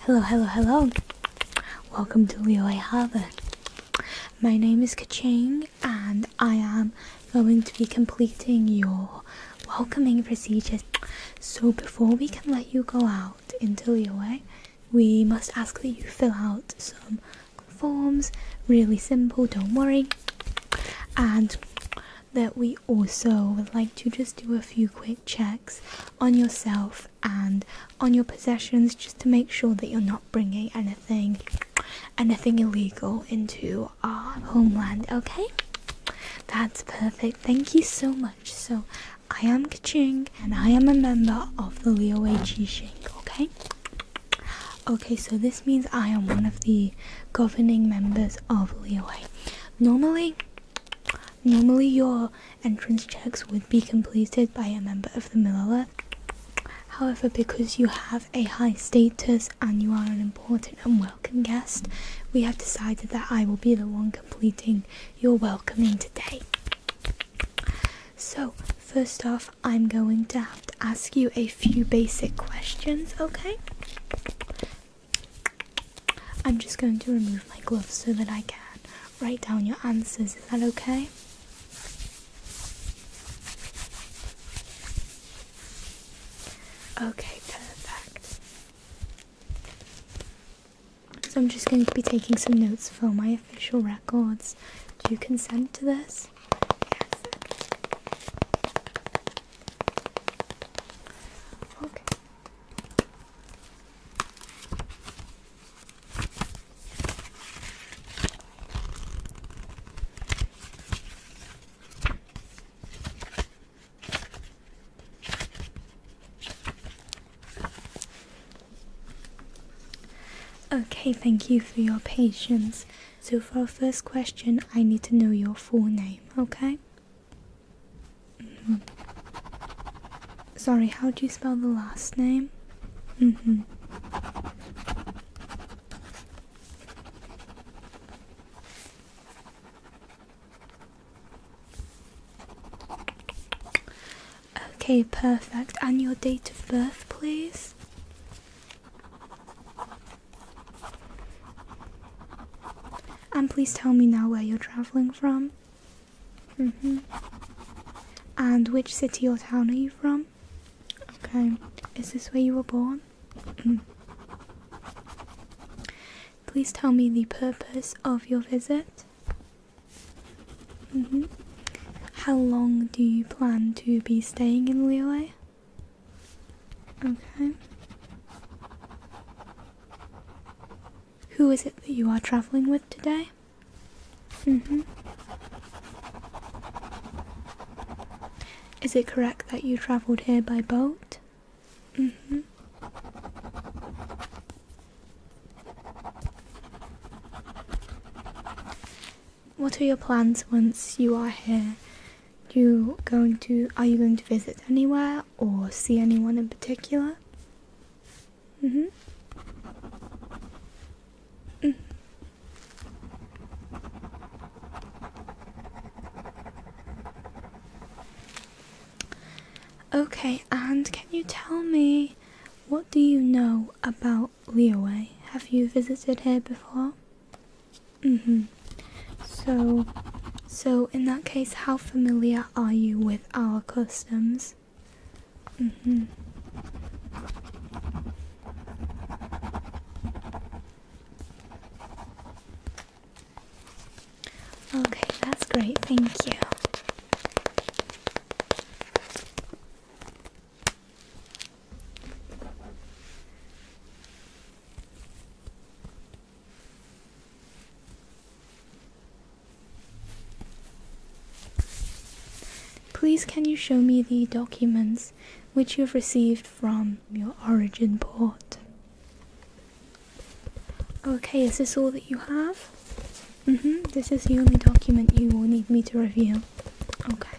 Hello, hello, hello. Welcome to Leo Harbour. My name is Kaching and I am going to be completing your welcoming procedures. So before we can let you go out into Leo, we must ask that you fill out some forms, really simple, don't worry. And that we also would like to just do a few quick checks on yourself and on your possessions just to make sure that you're not bringing anything anything illegal into our homeland okay that's perfect thank you so much so i am kaching and i am a member of the liowei qixing okay okay so this means i am one of the governing members of liowei normally Normally, your entrance checks would be completed by a member of the Milala. However, because you have a high status and you are an important and welcome guest, we have decided that I will be the one completing your welcoming today. So, first off, I'm going to have to ask you a few basic questions, okay? I'm just going to remove my gloves so that I can write down your answers. Is that okay? Okay, perfect. So I'm just going to be taking some notes for my official records. Do you consent to this? Yes. Okay. Okay, thank you for your patience. So, for our first question, I need to know your full name, okay? Mm-hmm. Sorry, how do you spell the last name? Mm-hmm. Okay, perfect. And your date of birth, please? And please tell me now where you're travelling from. Mm hmm And which city or town are you from? Okay. Is this where you were born? Mm. Please tell me the purpose of your visit. Mm hmm How long do you plan to be staying in Liyue? Okay. Who is it that you are traveling with today? Mm-hmm. Is it correct that you travelled here by boat? Mm-hmm. What are your plans once you are here? You going to are you going to visit anywhere or see anyone in particular? Mm hmm. Okay, and can you tell me what do you know about Leaway? Have you visited here before? Mm-hmm. So so in that case how familiar are you with our customs? Mm-hmm. Okay, that's great, thank you. Please can you show me the documents which you've received from your origin port? Okay, is this all that you have? Mm-hmm, this is the only document you will need me to review. Okay.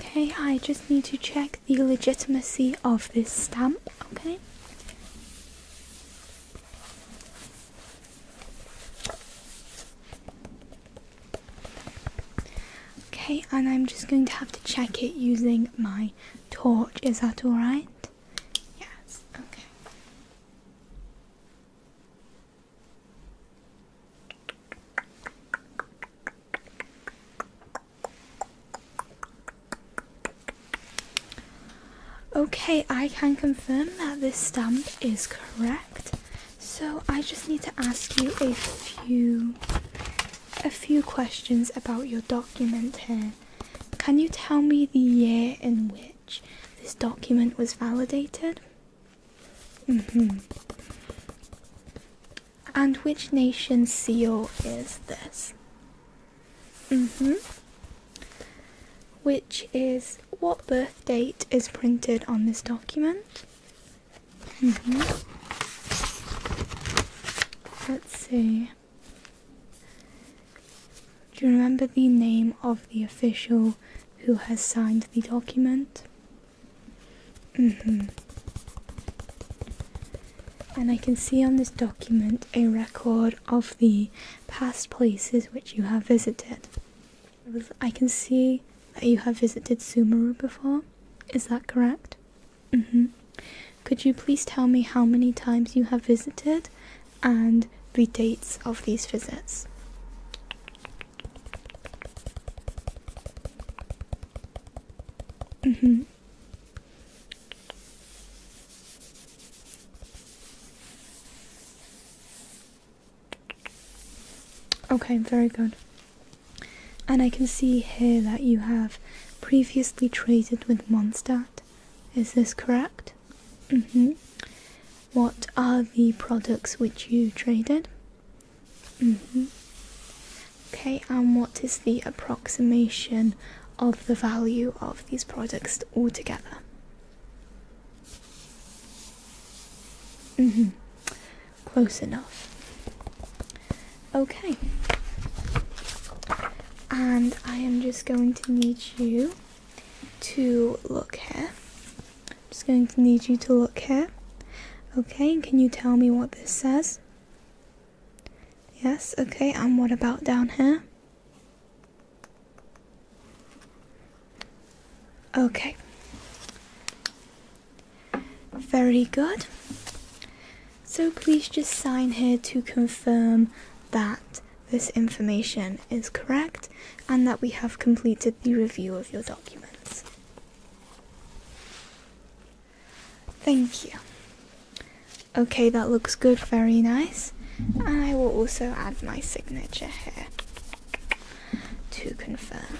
Okay, I just need to check the legitimacy of this stamp, okay? Okay, and I'm just going to have to check it using my torch. Is that alright? Yes, okay. Okay, I can confirm that this stamp is correct. So I just need to ask you a few a few questions about your document here. Can you tell me the year in which this document was validated? Mm-hmm. And which nation seal is this? Mm-hmm. Which is what birth date is printed on this document? Mm-hmm. Let's see. Do you remember the name of the official who has signed the document. Mm-hmm. And I can see on this document a record of the past places which you have visited. I can see that you have visited Sumeru before. Is that correct? Mm-hmm. Could you please tell me how many times you have visited and the dates of these visits? Mm-hmm. Okay, very good. And I can see here that you have previously traded with Mondstadt. Is this correct? Mm-hmm. What are the products which you traded? Mm-hmm. Okay, and what is the approximation of the value of these products altogether? Mm-hmm. Close enough. Okay. And I am just going to need you to look here. I'm just going to need you to look here. Okay, can you tell me what this says? Yes, okay, and what about down here? Okay. Very good. So please just sign here to confirm that this information is correct and that we have completed the review of your documents. Thank you. Okay, that looks good, very nice. And I will also add my signature here to confirm.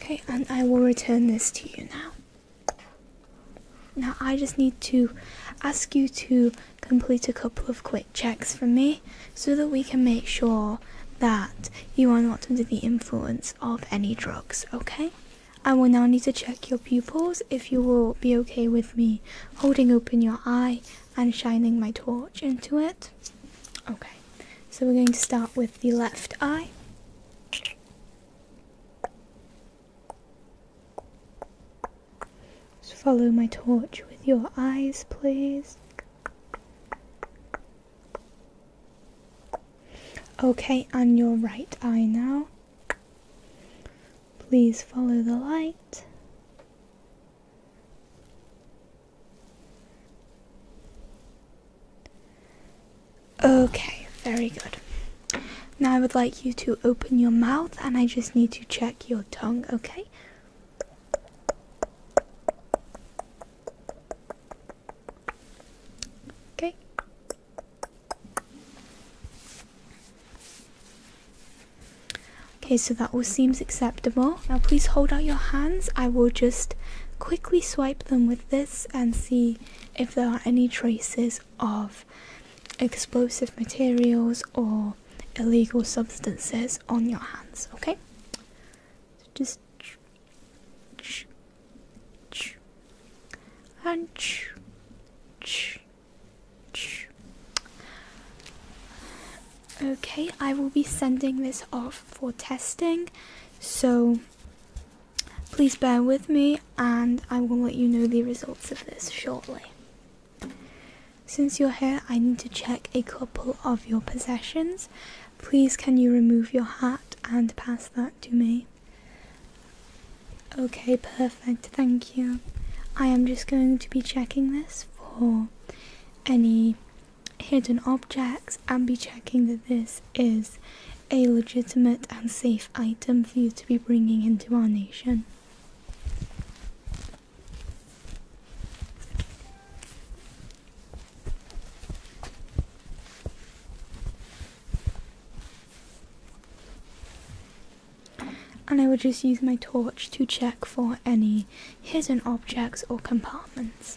Okay, and I will return this to you now. Now I just need to ask you to complete a couple of quick checks for me so that we can make sure that you are not under the influence of any drugs, okay? I will now need to check your pupils if you will be okay with me holding open your eye and shining my torch into it. Okay, so we're going to start with the left eye follow my torch with your eyes, please. Okay, and your right eye now. Please follow the light. Okay, very good. Now I would like you to open your mouth and I just need to check your tongue, okay? Okay. Okay, so that all seems acceptable. Now please hold out your hands. I will just quickly swipe them with this and see if there are any traces of explosive materials or illegal substances on your hands, okay? just and Okay, I will be sending this off for testing. So Please bear with me and I will let you know the results of this shortly. Since you're here, I need to check a couple of your possessions. Please, can you remove your hat and pass that to me? Okay, perfect, thank you. I am just going to be checking this for any hidden objects and be checking that this is a legitimate and safe item for you to be bringing into our nation. And I will just use my torch to check for any hidden objects or compartments.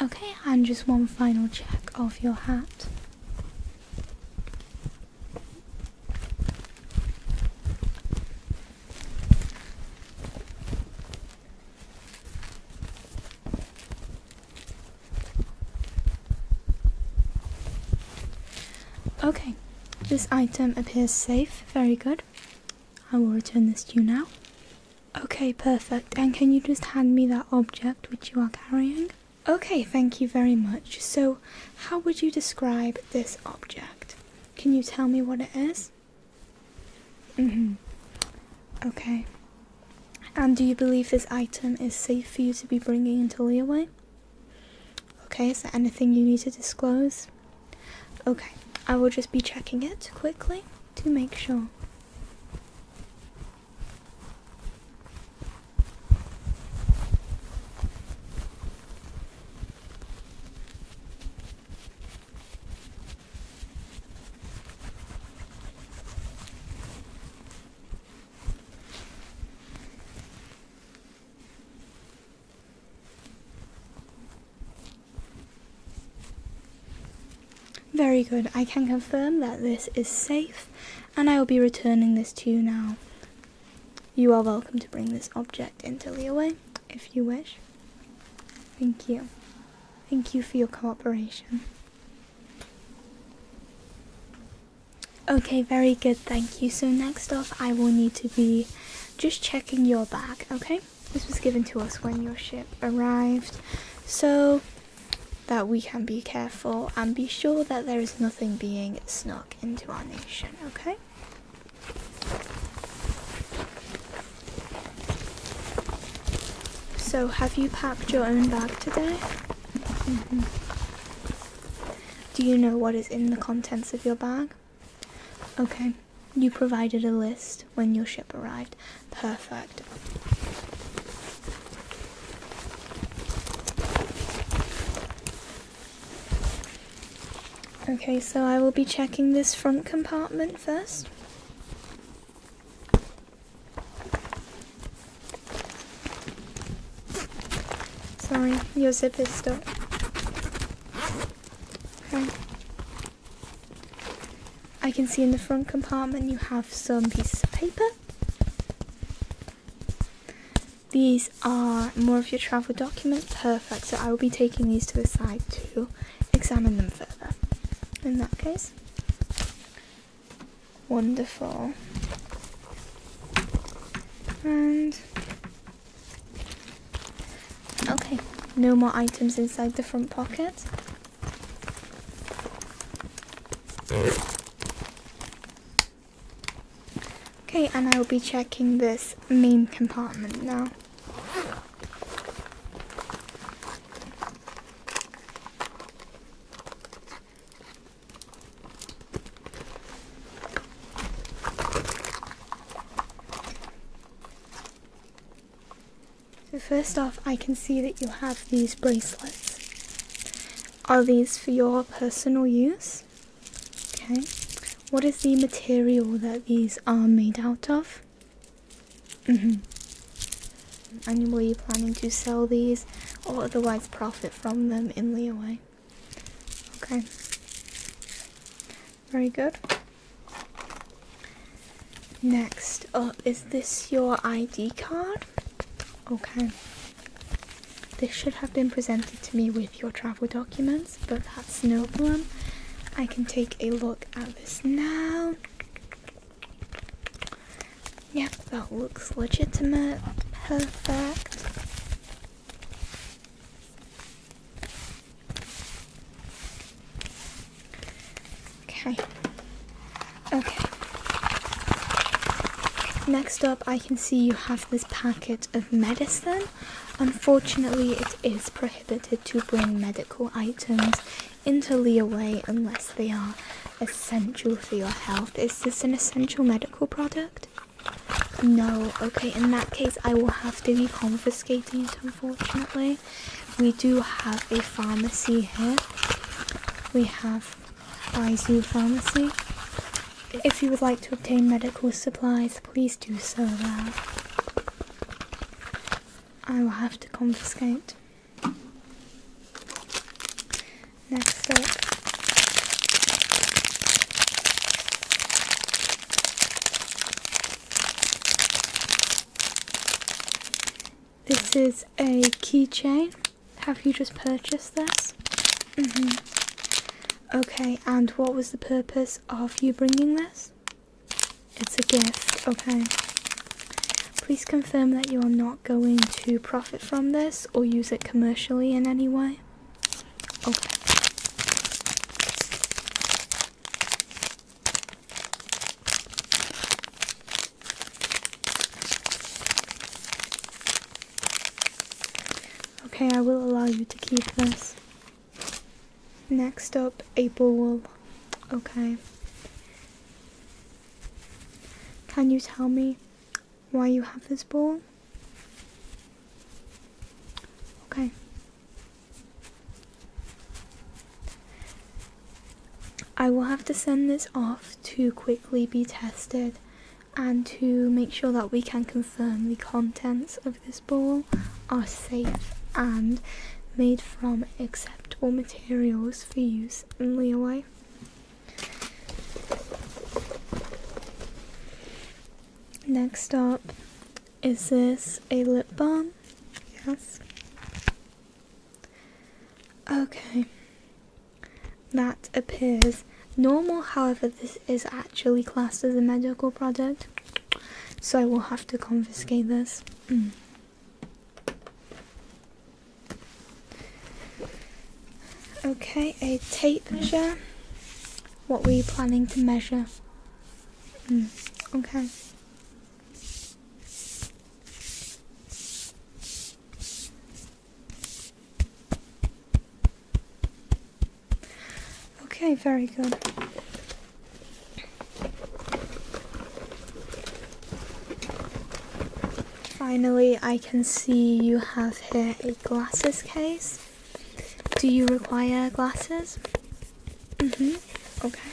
Okay, and just one final check of your hat. Okay, this item appears safe, very good. I will return this to you now. Okay, perfect. And can you just hand me that object which you are carrying? Okay, thank you very much. So, how would you describe this object? Can you tell me what it is? Mm-hmm. Okay. And do you believe this item is safe for you to be bringing into Leeway? Okay, is there anything you need to disclose? Okay, I will just be checking it quickly to make sure. Very good. I can confirm that this is safe and I will be returning this to you now. You are welcome to bring this object into Leeway if you wish. Thank you. Thank you for your cooperation. Okay, very good, thank you. So next up, I will need to be just checking your bag, okay? This was given to us when your ship arrived, so that we can be careful and be sure that there is nothing being snuck into our nation, okay? So, have you packed your own bag today? Mm-hmm. Do you know what is in the contents of your bag? Okay, you provided a list when your ship arrived. Perfect. Okay, so I will be checking this front compartment first. Sorry, your zip is stuck. Okay. I can see in the front compartment you have some pieces of paper. These are more of your travel documents. Perfect. So I will be taking these to the side to examine them further. In that case. Wonderful. And Okay, no more items inside the front pocket. Okay, and I will be checking this main compartment now. So first off, I can see that you have these bracelets. Are these for your personal use? Okay. What is the material that these are made out of? Mm-hmm. And were you planning to sell these or otherwise profit from them in Leeway? Okay. Very good. Next up, is this your ID card? Okay. This should have been presented to me with your travel documents, but that's no problem. I can take a look at this now. Yep, that looks legitimate. Perfect. Okay. Okay. Next up, I can see you have this packet of medicine. Unfortunately, it is prohibited to bring medical items into Leeway unless they are essential for your health. Is this an essential medical product? No, okay, in that case, I will have to be confiscating it, unfortunately. We do have a pharmacy here. We have IZU Pharmacy. If you would like to obtain medical supplies, please do so there. I will have to confiscate. Next up, this is a keychain. Have you just purchased this? hmm Okay, and what was the purpose of you bringing this? It's a gift, okay. Please confirm that you are not going to profit from this or use it commercially in any way. Okay. Okay, I will allow you to keep this. Next up, April wool. Okay. Can you tell me why you have this ball? Okay. I will have to send this off to quickly be tested and to make sure that we can confirm the contents of this ball are safe and made from acceptable materials for use in Leeway. Next up, is this a lip balm? Yes. Okay. That appears normal, however, this is actually classed as a medical product, so I will have to confiscate this. Mm. Okay, a tape measure. What were you planning to measure? Hmm, okay. Okay, very good. Finally, I can see you have here a glasses case. Do you require glasses? Mm-hmm. Okay.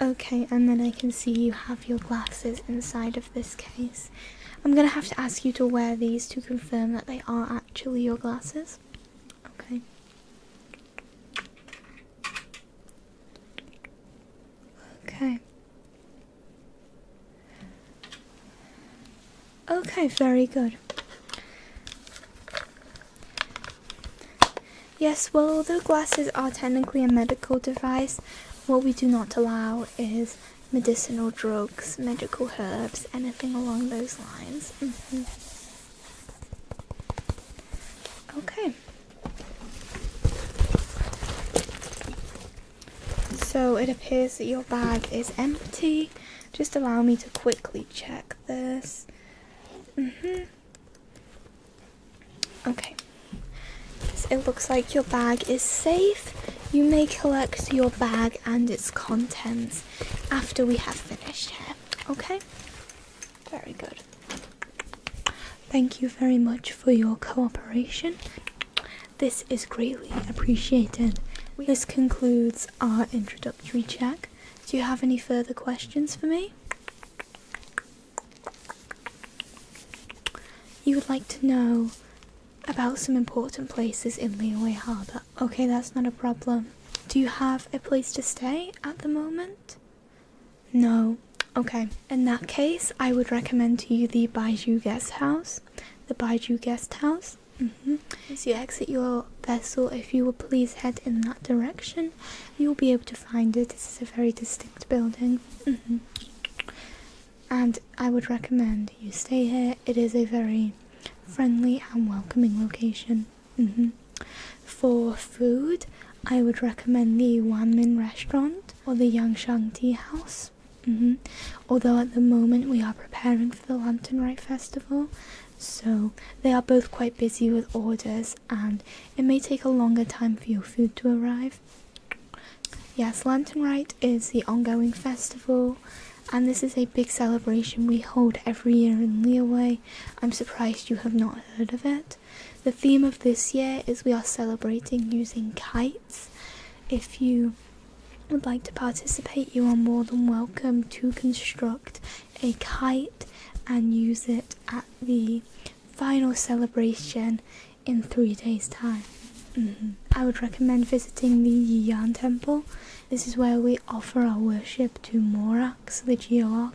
Okay, and then I can see you have your glasses inside of this case. I'm gonna have to ask you to wear these to confirm that they are actually your glasses. Okay. Okay. Okay, very good. Yes, well, although glasses are technically a medical device, what we do not allow is medicinal drugs, medical herbs, anything along those lines. Mm-hmm. Okay. So it appears that your bag is empty. Just allow me to quickly check this. Mm-hmm. Okay. it looks like your bag is safe. You may collect your bag and its contents after we have finished here. Okay? Very good. Thank you very much for your cooperation. This is greatly appreciated. This concludes our introductory check. Do you have any further questions for me? You would like to know about some important places in Leeway Harbour. Okay, that's not a problem. Do you have a place to stay at the moment? No. Okay. In that case, I would recommend to you the Baiju Guest House. The Baiju Guest House. Mm-hmm. As you exit your vessel, if you will please head in that direction, you'll be able to find it. This is a very distinct building. Mm-hmm. And I would recommend you stay here. It is a very friendly and welcoming location. Mm-hmm. For food, I would recommend the Wanmin restaurant or the Yangshan Tea House. Mm-hmm. Although at the moment we are preparing for the Lantern Rite Festival, so they are both quite busy with orders, and it may take a longer time for your food to arrive. Yes, Lantern Rite is the ongoing festival, and this is a big celebration we hold every year in Leaway. I'm surprised you have not heard of it. The theme of this year is we are celebrating using kites. If you would like to participate, you are more than welcome to construct a kite and use it at the final celebration in three days' time. Mm-hmm. I would recommend visiting the Yan Temple. This is where we offer our worship to Morax, the Geo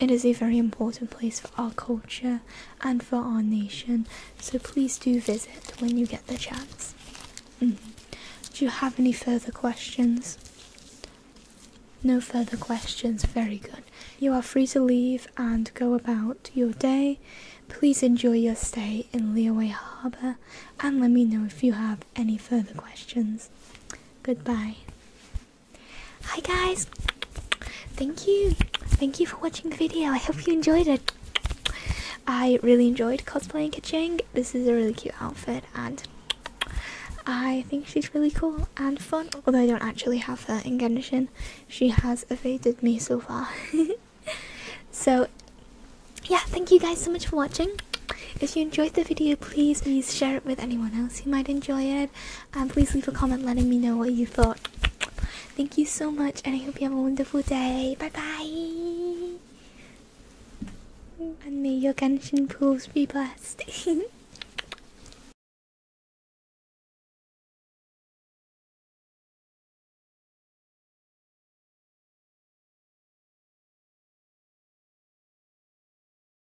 it is a very important place for our culture and for our nation, so please do visit when you get the chance. Mm-hmm. Do you have any further questions? No further questions, very good. You are free to leave and go about your day. Please enjoy your stay in Leaway Harbour and let me know if you have any further questions. Goodbye. Hi guys! Thank you! Thank you for watching the video. I hope you enjoyed it. I really enjoyed cosplay Kacheng. This is a really cute outfit and I think she's really cool and fun. Although I don't actually have her in Genshin. She has evaded me so far. so yeah, thank you guys so much for watching. If you enjoyed the video, please please share it with anyone else who might enjoy it. Um, please leave a comment letting me know what you thought. Thank you so much, and I hope you have a wonderful day. Bye bye. And may your Genshin pools be blessed.